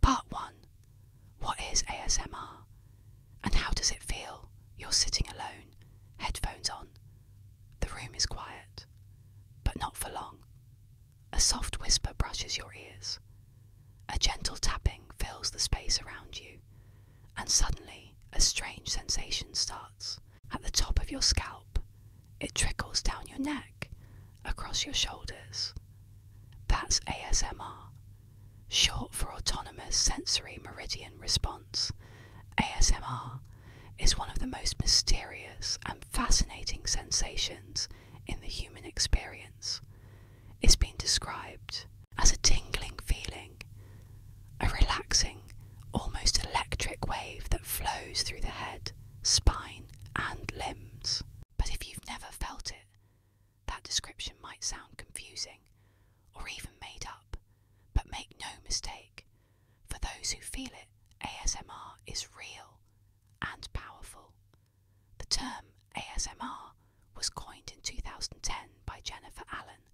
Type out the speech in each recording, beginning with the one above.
Part 1 What is ASMR and how does it feel? You're sitting alone, headphones on. The room is quiet, but not for long. A soft whisper brushes your ears. A gentle tapping fills the space around you, and suddenly a strange sensation starts at the top of your scalp. It trickles down your neck, across your shoulders. That's ASMR, short for Autonomous Sensory Meridian Response. ASMR is one of the most mysterious and fascinating sensations in the human experience. It's been described as a tingling feeling, a relaxing, almost electric wave that flows through the head, spine, and limbs. But if you've never felt it that description might sound confusing or even made up, but make no mistake, for those who feel it, ASMR is real and powerful. The term ASMR was coined in 2010 by Jennifer Allen,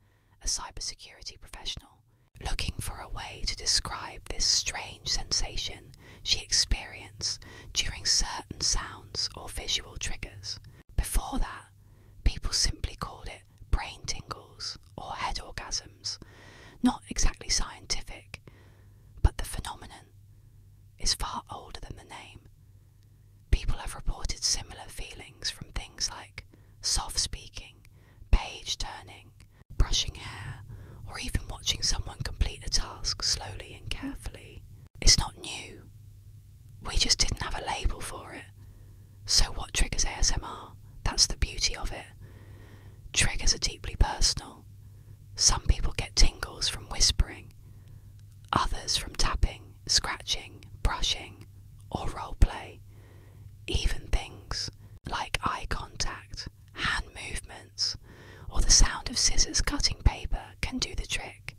a cybersecurity professional, looking for a way to describe this strange sensation she experienced during certain sounds or visual triggers. Before that, people simply called it brain tingles or head orgasms. Not exactly scientific, but the phenomenon is far older than the name. People have reported similar feelings from things like soft speaking, page turning, brushing hair, or even watching someone complete a task slowly and carefully. It's not new. We just didn't have a label for it. So, what triggers ASMR? That's the beauty of it. Triggers are deeply personal. Some people get tingles from whispering, others from tapping, scratching, brushing, or role play. Even things like eye contact, hand movement or the sound of scissors cutting paper can do the trick.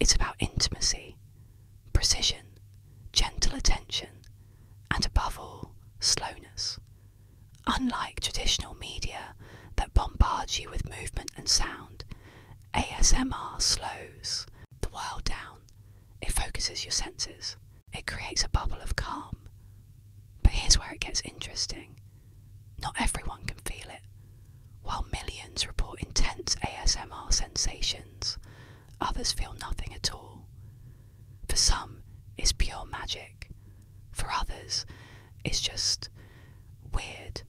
It's about intimacy, precision, gentle attention, and above all, slowness. Unlike traditional media that bombards you with movement and sound, ASMR slows the world down. It focuses your senses. It creates a bubble of calm, but here's where it gets interesting. Not everyone can feel it. While millions report intense ASMR sensations, others feel nothing at all. For some, it's pure magic. For others, it's just weird.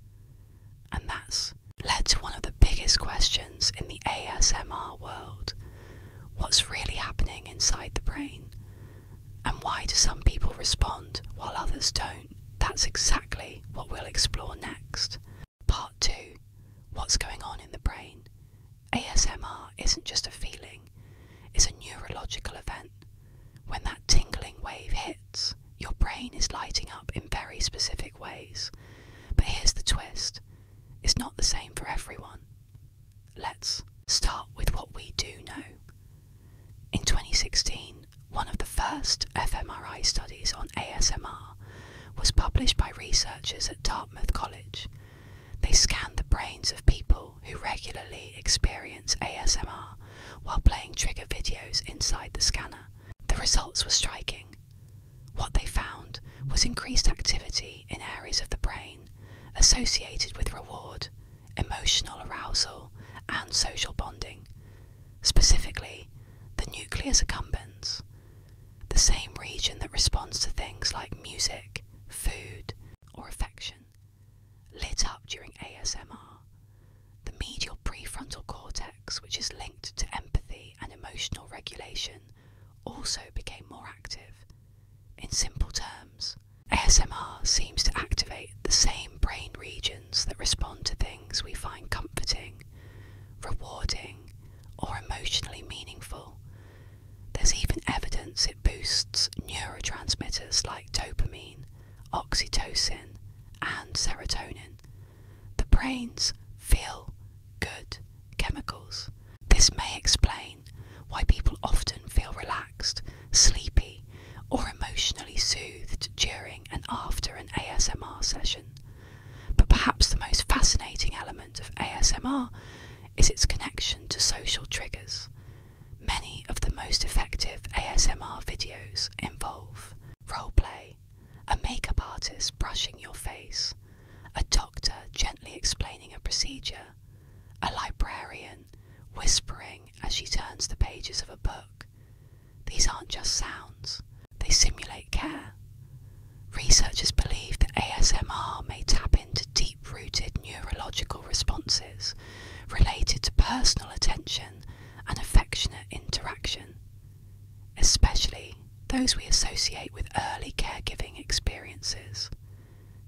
And that's led to one of the biggest questions in the ASMR world what's really happening inside the brain? And why do some people respond while others don't? That's exactly what we'll explore next. Part 2 What's going on in the brain? ASMR isn't just a feeling, it's a neurological event. When that tingling wave hits, your brain is lighting up in very specific ways. But here's the twist it's not the same for everyone let's start with what we do know. In 2016, one of the first fMRI studies on ASMR was published by researchers at Dartmouth College. They scanned the brains of people who regularly experience ASMR while playing trigger videos inside the scanner. The results were striking. What they found was increased activity in areas of the brain associated with reward emotional arousal, and social bonding, specifically the nucleus accumbens, the same region that responds to things like music, food, or affection, lit up during ASMR. The medial prefrontal cortex, which is linked to empathy and emotional regulation, also became more active. In simple terms, ASMR seems to activate the same brain regions that respond to things we find comforting, rewarding, or emotionally meaningful. There's even evidence it boosts neurotransmitters like dopamine, oxytocin, and serotonin, the brain's feel good chemicals. This may explain why people often feel relaxed, sleepy, or emotionally soothed during and after an ASMR session. But perhaps the most fascinating element of ASMR is its connection to social triggers. Many of the most effective ASMR videos involve role play, a makeup artist brushing your face, a doctor gently explaining a procedure, a librarian whispering as she turns the pages of a book. These aren't just sounds, they simulate care. Researchers believe that ASMR may tap into deep rooted neurological responses related to personal attention and affectionate interaction, especially those we associate with early caregiving experiences.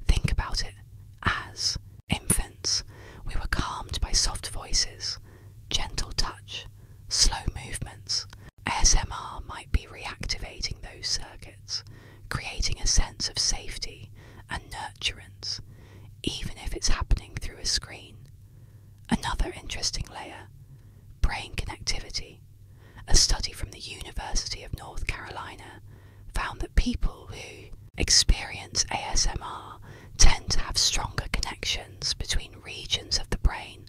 Think about it. As infants, we were calmed by soft voices, gentle touch, slow movements. ASMR might be reactivating those circuits, creating a sense of safety and nurturance, even if it's happening through a screen. Another interesting layer brain connectivity. A study from the University of North Carolina found that people who experience ASMR tend to have stronger connections between regions of the brain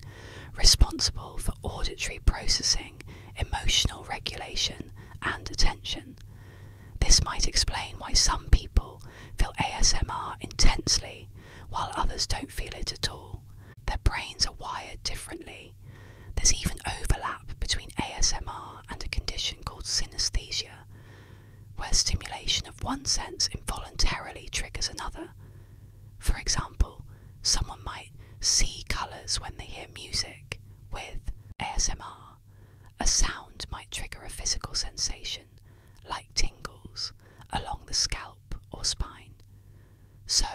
responsible for auditory processing, emotional regulation, and attention. This might explain why some people feel ASMR intensely while others don't feel it at all. Their brains are wired differently there's even overlap between ASMR and a condition called synesthesia, where stimulation of one sense involuntarily triggers another. For example, someone might see colours when they hear music with ASMR. A sound might trigger a physical sensation, like tingles, along the scalp or spine. So,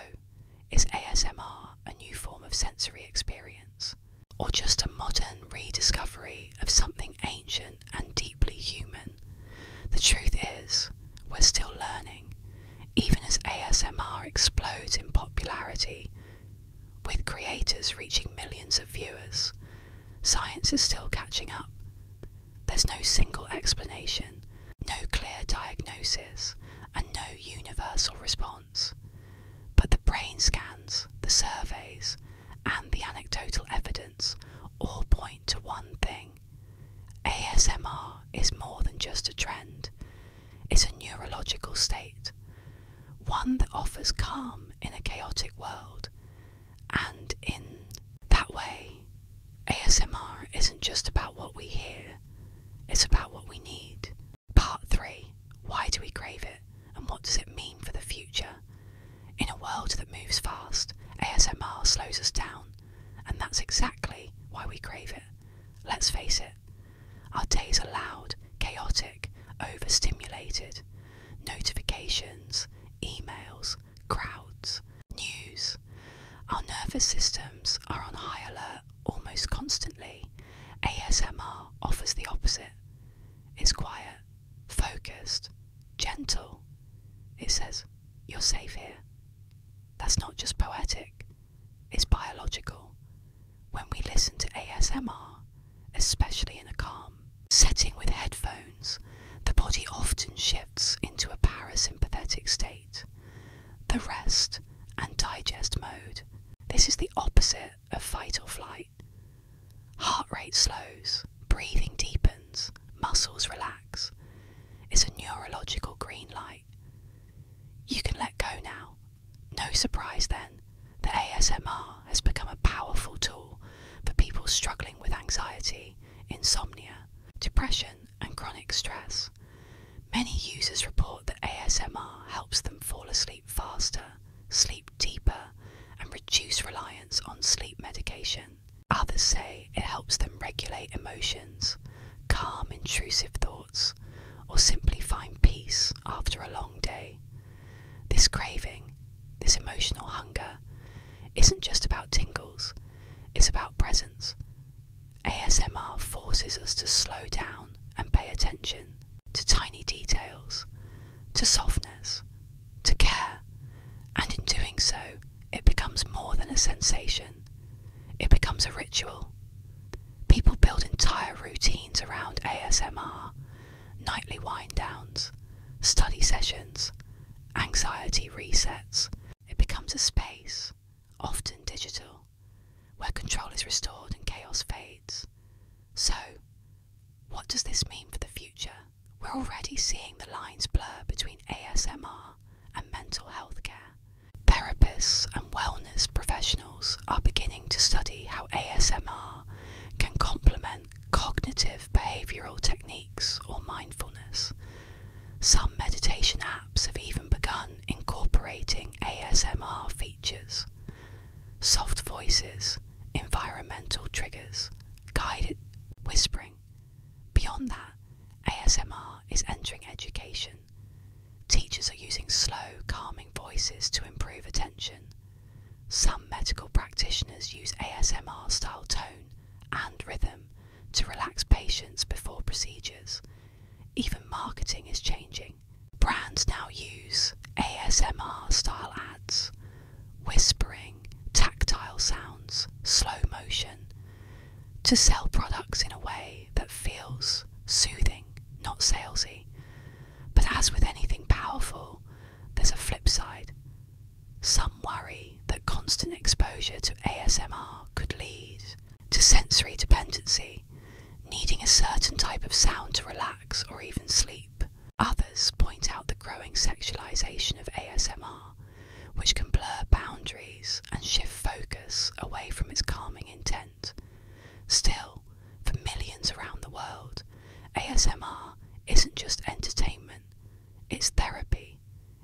is ASMR a new form of sensory experience, or just a modern rediscovery of something ancient and deeply human? The truth is, we're still learning, even as ASMR explodes in popularity, with creators reaching millions of viewers. Science is still catching up. There's no single explanation, no clear diagnosis, and no universal response. But the brain scans, the surveys, and the anecdotal evidence all point to one thing ASMR is more than just a trend, it's a neurological state, one that offers calm in a chaotic world. And in that way, ASMR isn't just about what we hear, it's about what we need. Part 3 Why do we crave it, and what does it mean for the future? In a world that moves fast, ASMR slows us down, and that's exactly why we crave it. Let's face it, our days are loud, chaotic, overstimulated. Notifications, emails, crowds, news. Our nervous systems are on high alert, almost constantly, ASMR offers the opposite. It's quiet, focused, gentle. It says, You're safe here. That's not just poetic, it's biological. When we listen to ASMR, especially in a calm setting with headphones, the body often shifts into a parasympathetic state the rest and digest mode. This is the opposite of fight or flight. Heart rate slows, breathing deepens, muscles relax. It's a neurological green light. You can let go now. No surprise then that ASMR has become a powerful tool for people struggling with anxiety, insomnia, depression, and chronic stress. Many users report that ASMR helps them fall asleep faster, sleep deeper, and reduce reliance on sleep medication. Others say it helps them regulate emotions, calm intrusive thoughts, or simply find peace after a long day. This craving, this emotional hunger, isn't just about tingles, it's about presence, ASMR forces us to slow down and pay attention to tiny details, to softness, to care, and in doing so, it becomes more than a sensation, it becomes a ritual. People build entire routines around ASMR, nightly wind downs, study sessions, anxiety resets. It becomes a space, often digital, where control is restored and chaos fades. So, what does this mean for the future? We're already seeing the lines blur between ASMR and mental health care. Therapists and wellness professionals are beginning to study how ASMR can complement cognitive behavioural techniques or mindfulness some meditation apps have even begun incorporating ASMR features, soft voices, environmental triggers, guided whispering. Beyond that, ASMR is entering education. Teachers are using slow, calming voices to improve attention. Some medical practitioners use ASMR style tone and rhythm to relax patients before procedures even marketing is changing. Brands now use ASMR style ads, whispering, tactile sounds, slow motion, to sell products in a way that feels soothing, not salesy. But as with anything powerful, there's a flip side. Some worry that constant exposure to ASMR could lead to sensory dependency, needing a certain type of sound to relax or even sleep. Others point out the growing sexualization of ASMR, which can blur boundaries and shift focus away from its calming intent. Still, for millions around the world, ASMR isn't just entertainment, it's therapy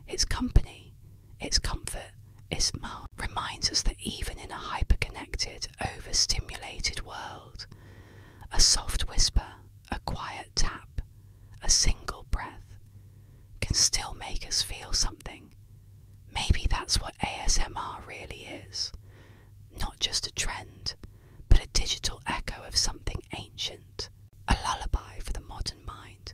its company, its comfort, its mark reminds us that even in a hyperconnected, overstimulated world, a soft whisper, a quiet tap, a single breath can still make us feel something. Maybe that's what ASMR really is. Not just a trend, but a digital echo of something ancient, a lullaby for the modern mind.